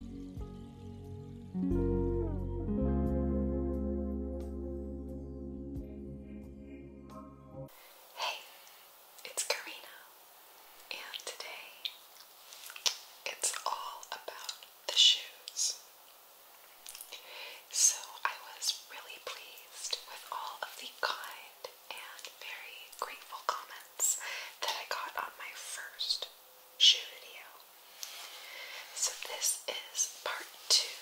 Hey, it's Karina, and today it's all about the shoes. So I was really pleased with all of the kind and very grateful comments that I got on my first shoe video. So, this is part two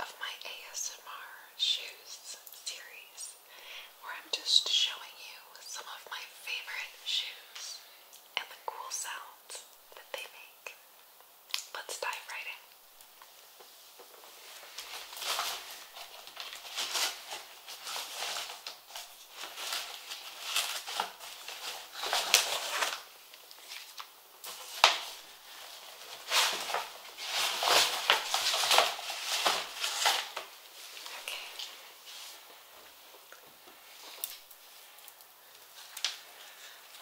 of my ASMR shoes series where I'm just showing you some of my favorite shoes and the cool sounds that they make. Let's dive right in.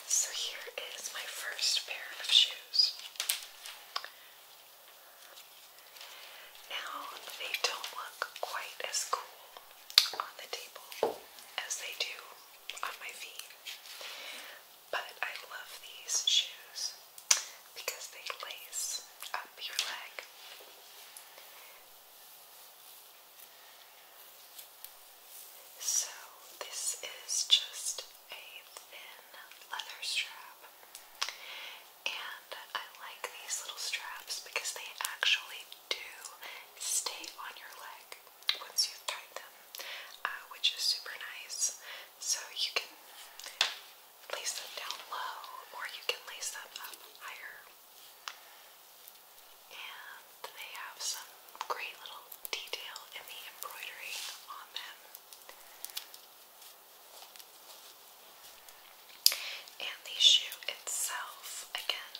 So here is my first pair of shoes. Now they don't look quite as cool on the table as they do on my feet. But I love these shoes because they lace up your leg. So, this is just a thin leather strap, and I like these little straps because they actually do stay on your leg once you've tied them, uh, which is super nice. So you can lace them down low or you can lace them up higher. And they have some great little detail in the embroidery on them. And the shoe itself, again,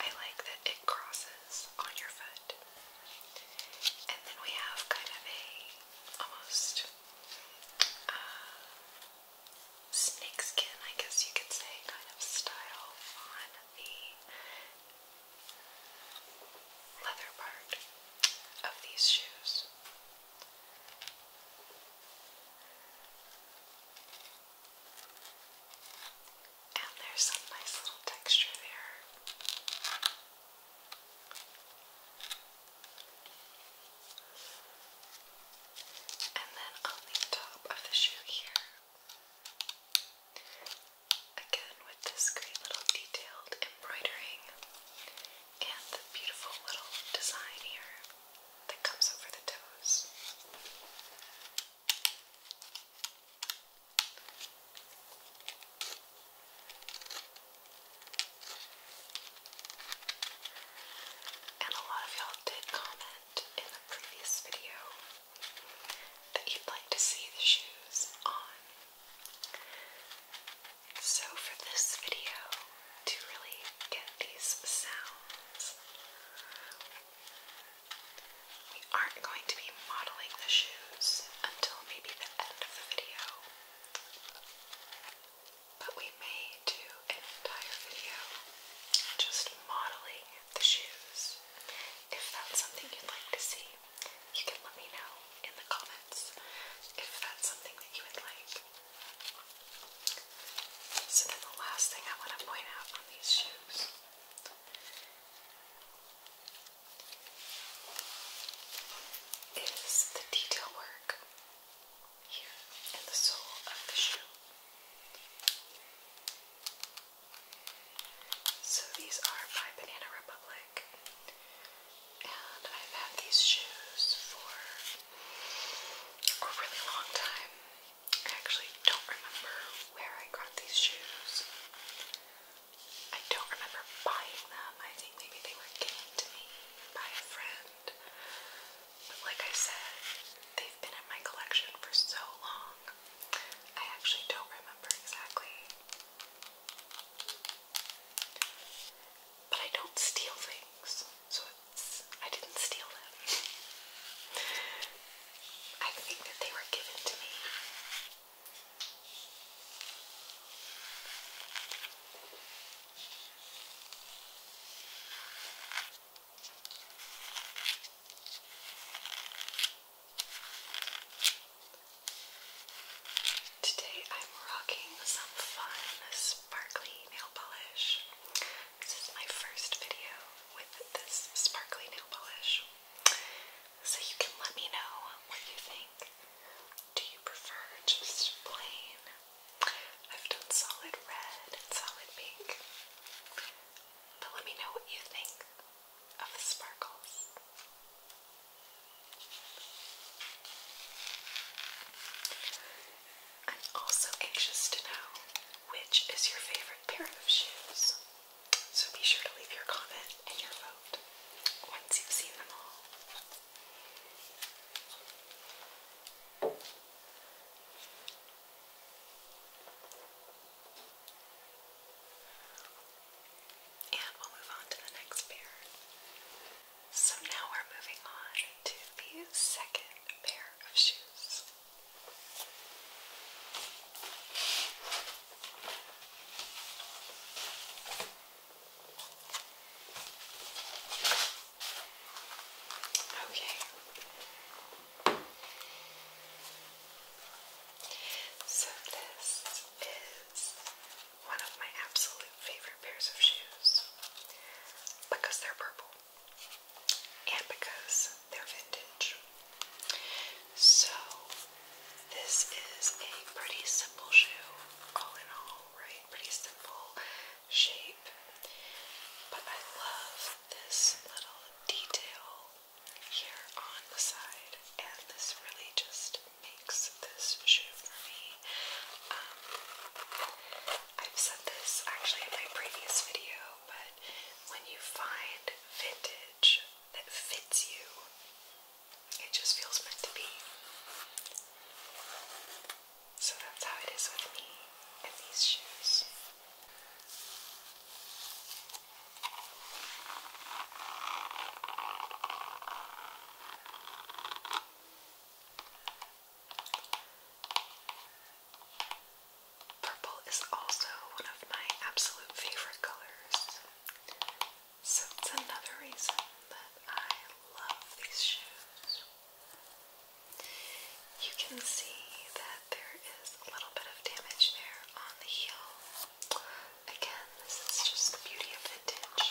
I like that it crosses on your foot. And then we have kind of a almost uh, snakeskin, I guess you could say, kind of style on the leather part of these shoes. And there's some nice little texture there. And then on the top of the shoe here, again with this great little detailed embroidering and the beautiful little design here that comes over the toes. And a lot of y'all did comment in the previous video that you'd like to see the shoes on. So for this video, to really get these sounds. We aren't going to be modeling the shoes until maybe the end of the video, but we may do an entire video just modeling the shoes. If that's something you'd like to see, you can let me know in the comments if that's something that you would like. So then the last thing I want to point out on these shoes is the detail work here in the sole of the shoe. So these are by Banana Republic, and I've had these shoes for a really long time. I actually don't remember where I got these shoes. I don't remember buying them. I think maybe they were given to me by a friend. But like I said, they've been in my collection for so long. I actually don't remember exactly. But I don't steal things, so it I didn't steal them. I think that they were given to me. Today I'm rocking some fun sparkly nail polish. This is my first video with this sparkly nail polish. So you can let me know what you think. Do you prefer just plain? I've done solid red and solid pink. But let me know what you think of the sparkles. I'm also anxious to know which is your favorite pair of shoes. So be sure to leave your comment and your vote once you've seen them all. And we'll move on to the next pair. So now we're moving on to the second pair of shoes. Okay. So this is one of my absolute favorite pairs of shoes because they're purple and because they're vintage. So, this is a pretty simple shoe, all in all, right? Pretty simple shape. But I love this little detail here on the side, and this really just makes this shoe for me. Um, I've said this actually in my previous video, but when you find vintage that fits you, it just feels meant to be. So that's how it is with me and these shoes. Purple is also one of my absolute favorite colors. So it's another reason that I love these shoes. You can see that there is a little bit of damage there on the heel. Again, this is just the beauty of vintage.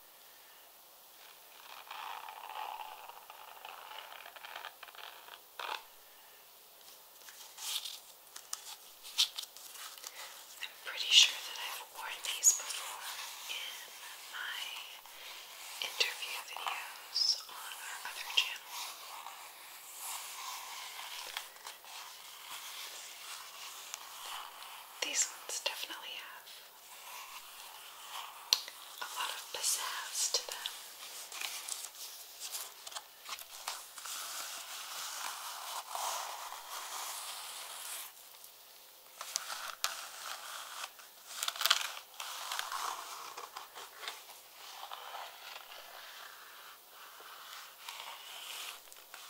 I'm pretty sure that I've worn these before in my interview videos on our other channel. These ones definitely have a lot of pizzazz to them.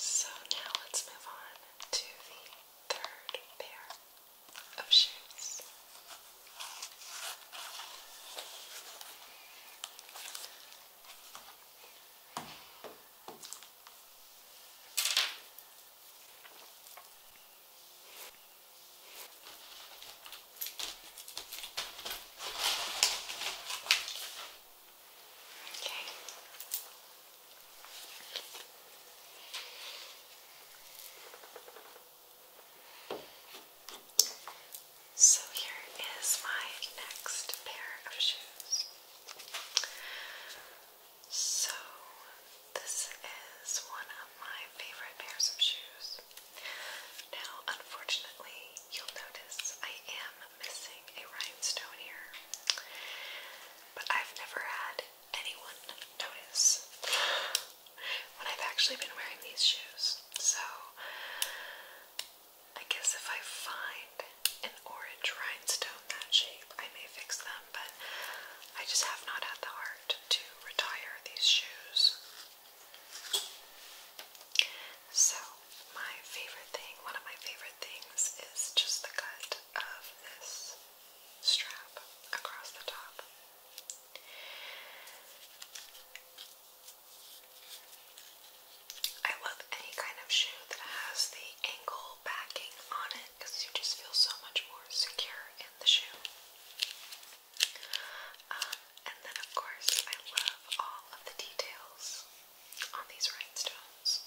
So now let's move on to the third pair of shoes. Okay. So here is my next pair of shoes. So, this is one of my favorite pairs of shoes. Now, unfortunately, you'll notice I am missing a rhinestone here, but I've never had anyone notice when I've actually been wearing these shoes. So, I guess if I find an orange rhinestone that shape, I may fix them, but I just have not had the heart to retire these shoes. So, my favorite thing, one of my favorite things, is just the cut of this strap across the top. I love any kind of shoe that has the ankle backing on it because you just feel so much more secure in the shoe. Um, and then, of course, I love all of the details on these rhinestones.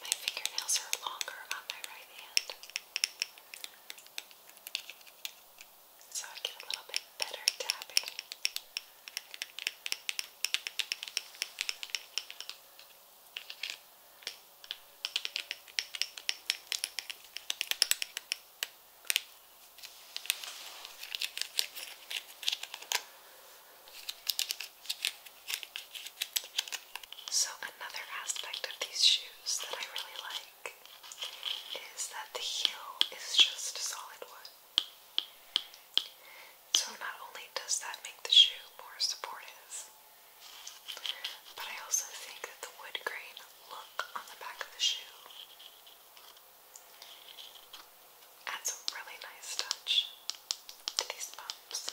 My fingernails are longer on my right hand, so I get a little bit better tapping. I so, another aspect of these shoes that I really like is that the heel is just solid wood. So, not only does that make the shoe more supportive, but I also think that the wood grain look on the back of the shoe Adds a really nice touch to these bumps.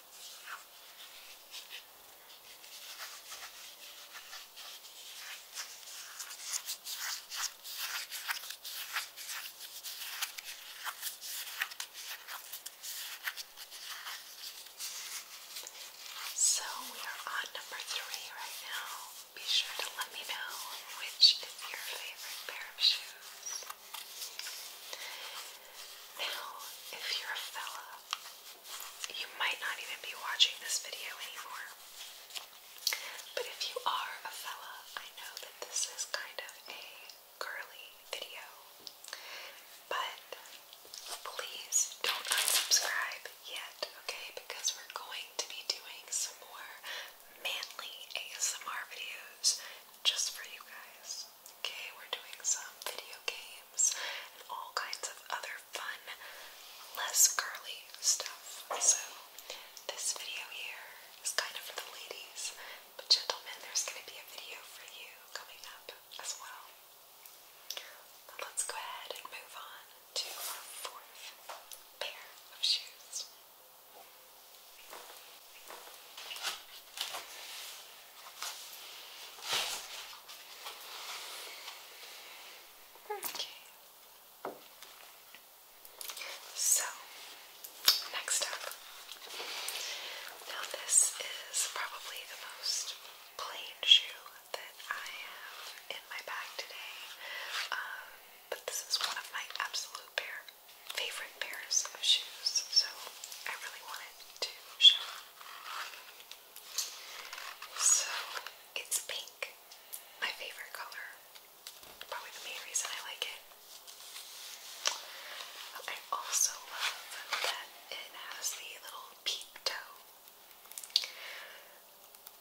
So we are on number three right now. Be sure to let me know which is your favorite pair of shoes. Now, if you're a fella you might not even be watching this video anymore. But if you are a fella, I know that this is kind of a girly video. But please don't unsubscribe yet, okay? Because we're going to be doing some more manly ASMR videos just for you guys. Okay, we're doing some video games and all kinds of other fun, less girly stuff. So, this video here is kind of for the ladies, but gentlemen, there's going to be a video for you coming up as well. let's go ahead and move on to our fourth pair of shoes. Okay. So, next up. Now, this is probably the most plain shoe that I have in my bag today, um, but this is one of my absolute pair, favorite pairs of shoes, so I really wanted to show so it's pink, my favorite color. Probably the main reason I like it. I also love that it has the little peep toe.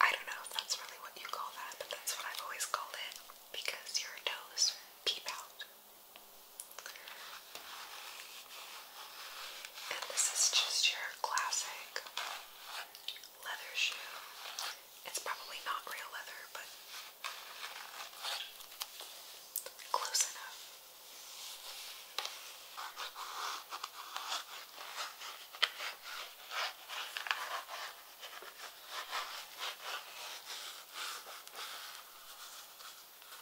I don't know if that's really what you call that, but that's what I've always called it because your toes peep out. And this is just your classic leather shoe. It's probably not real leather, but close enough.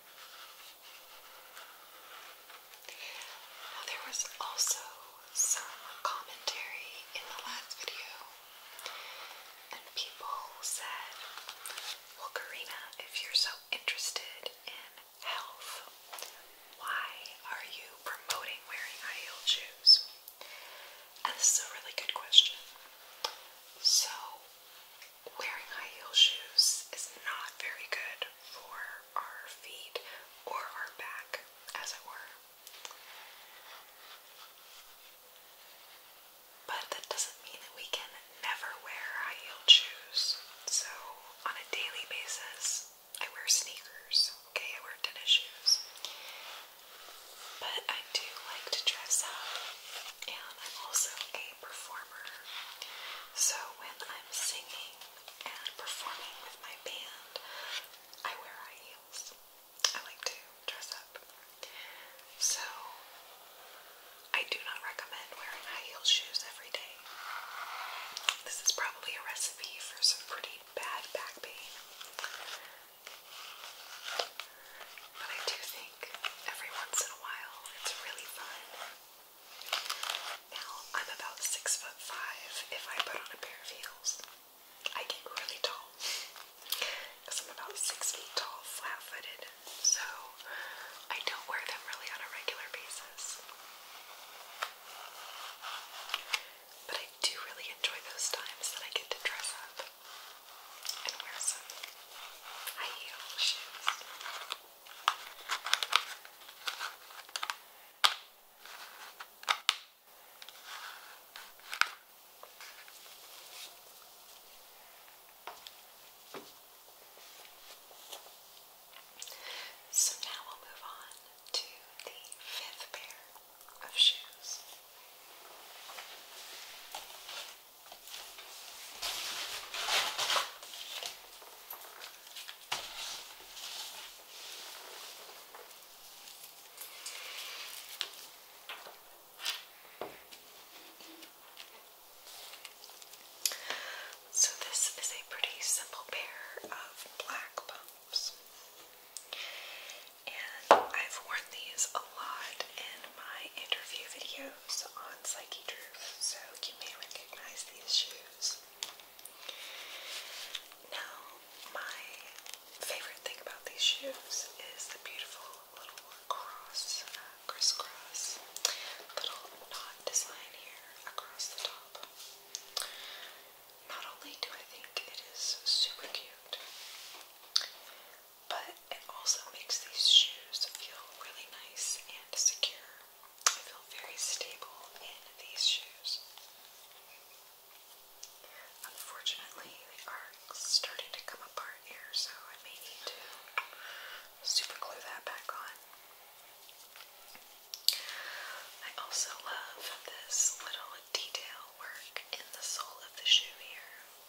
Now, there was also some commentary in the last video, and people said, Well, Karina, if you're so interested in health, why are you promoting wearing high heeled shoes? And this is a really good question. So, wearing high heel shoes is not very good for our feet or our back, as it were. But that doesn't mean that we can never wear high heel shoes. So, on a daily basis, I wear sneakers, okay? I wear tennis shoes. But I do like to dress up and I'm also a performer. So when I'm singing and performing with my band, I wear high heels. I like to dress up. So I do not recommend wearing high heel shoes every day. This is probably a recipe for some pretty bad back pain. But I do think every once in a while it's really fun. Now, I'm about six foot five if I put on a pair of heels. I get really tall. Because I'm about six feet tall, flat footed. So I don't wear them really on a regular basis. But I do really enjoy those times that I get to dress up and wear some So now we'll move on to the fifth pair of shoes. So, this is a pretty simple pair of black pumps, and I've worn these a lot in my interview videos shows on Psyche Drew, so you may recognize these shoes. Now, my favorite thing about these shoes is the beautiful little cross, uh, crisscross, little knot design here across the top. Not only do I think it is super cute, but it also makes these shoes feel really nice and secure. I feel very stable in these shoes. Unfortunately, they are starting to come apart here, so I may need to super glue that back on. I also love this little detail work in the sole of the shoe here.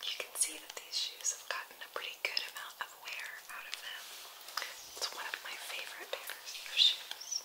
You can see that these shoes have gotten a pretty good amount of wear out of them. It's one of my favorite pairs of shoes.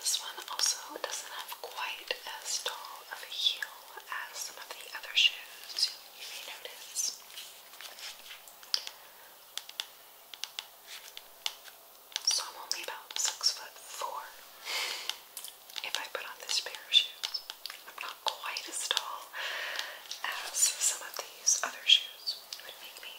this one also doesn't have quite as tall of a heel as some of the other shoes you notice. So I'm only about six foot four if I put on this pair of shoes. I'm not quite as tall as some of these other shoes would make me.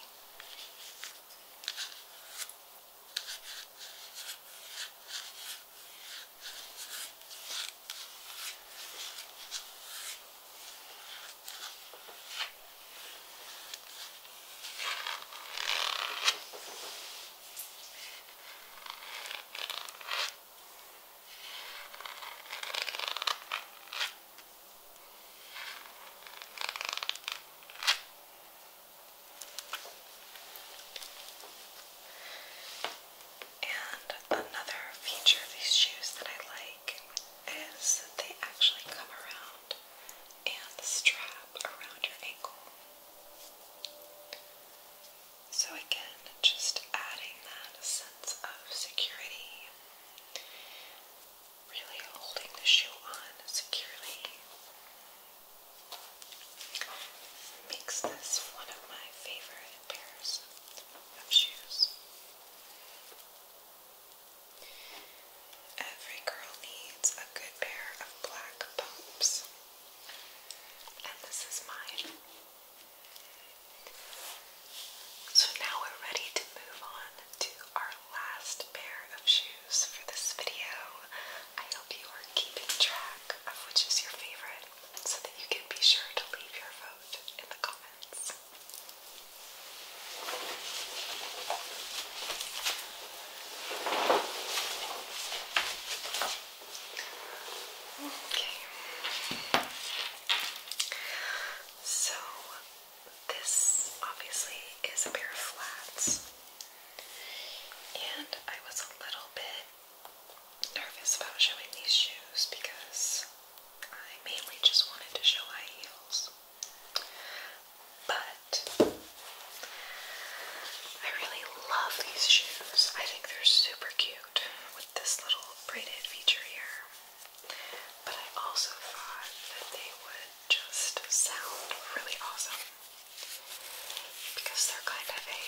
And another feature of these shoes that I like is that they actually come around and strap around your ankle. So, again, just adding that sense of security, really holding the shoe on securely, makes this one of my favorite pairs of shoes. Every girl needs a good pair of black pumps, and this is mine. So now we're ready to move on to our last pair of shoes for this video. I hope you are keeping track of which is your favorite so that you can be sure to leave your vote in the comments. Okay. So, this obviously is a pair of flats, and I was a little bit nervous about showing these shoes because I mainly just wanted to show high heels. But I really love these shoes. I think they're super cute with this little braided feature here. But I also thought that they would just sound really awesome because they're kind of a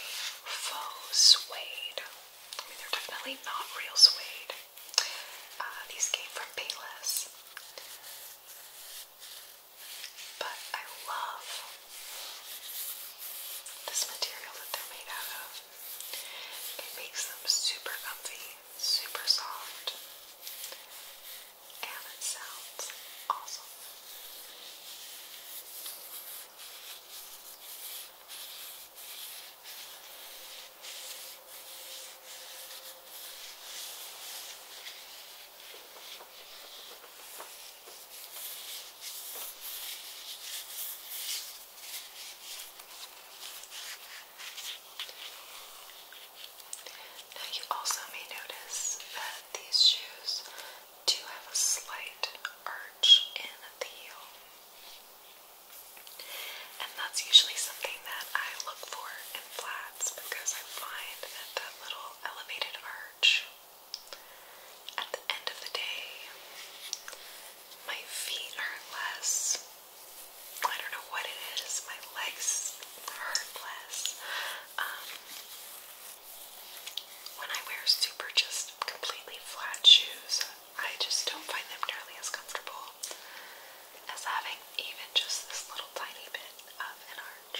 faux suede. I mean, they're definitely not real suede. Uh, these came from Payless. But I love this material that they're made out of, it makes them super comfy, super soft, and it sounds awesome. Now, you also may notice that these shoes do have a slight arch in the heel. And that's usually something that I look for in flats because I find that that little elevated arch at the end of the day, my feet hurt less. I don't know what it is. My legs hurt less. Um, when I wear super, just completely flat shoes, I just don't find them nearly as comfortable as having even just this little tiny bit of an arch.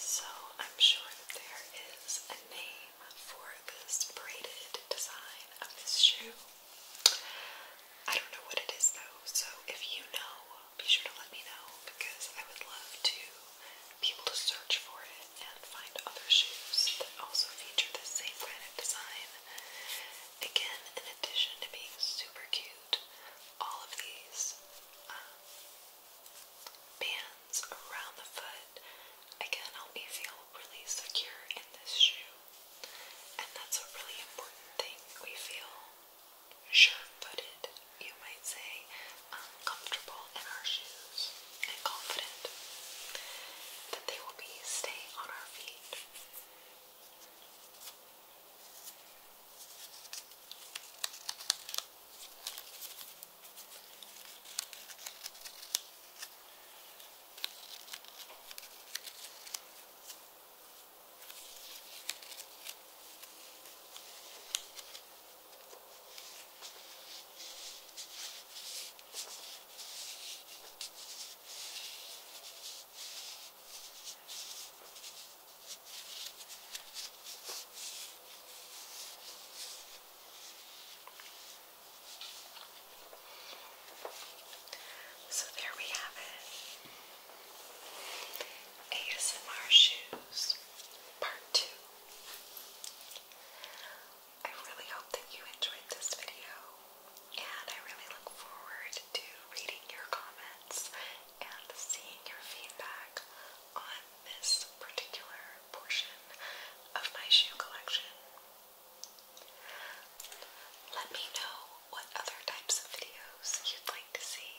So I'm sure that there is a name for this braided design of this shoe. I don't know what it is though, so if you know, be sure to let me know because I would love to be able to search for it and find other shoes that also feature the same kind of design. Again, in addition to being super cute, all of these um, bands around the foot again help me feel really secure in this shoe. And that's a really important thing. We feel sure footed, you might say, comfortable in our shoes and confident that they will be staying on our feet. So there we have it. ASMR shoes part two. I really hope that you enjoyed this video, and I really look forward to reading your comments and seeing your feedback on this particular portion of my shoe collection. Let me know what other types of videos you'd like to see.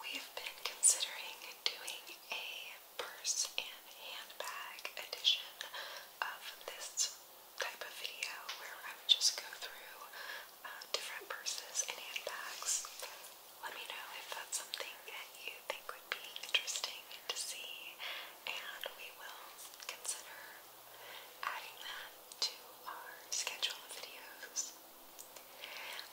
We've been considering doing a purse and handbag edition of this type of video where I would just go through uh, different purses and handbags. Let me know if that's something that you think would be interesting to see, and we will consider adding that to our schedule of videos.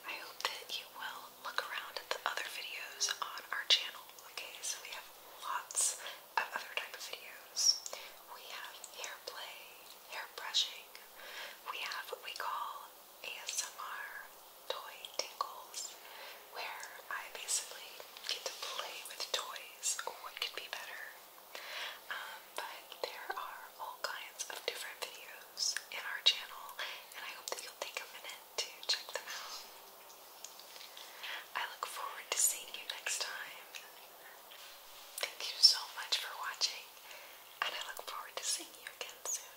I hope that you will look around at the other videos on our channel. Okay, so we have lots of other type of videos. We have hair play, hair brushing. We have what we call ASMR toy tingles, where I basically get to play with toys. What could be better? Um, but there are all kinds of different videos in our channel, and I hope that you'll take a minute to check them out. I look forward to seeing you next time. Thank you so much for watching, and I look forward to seeing you again soon.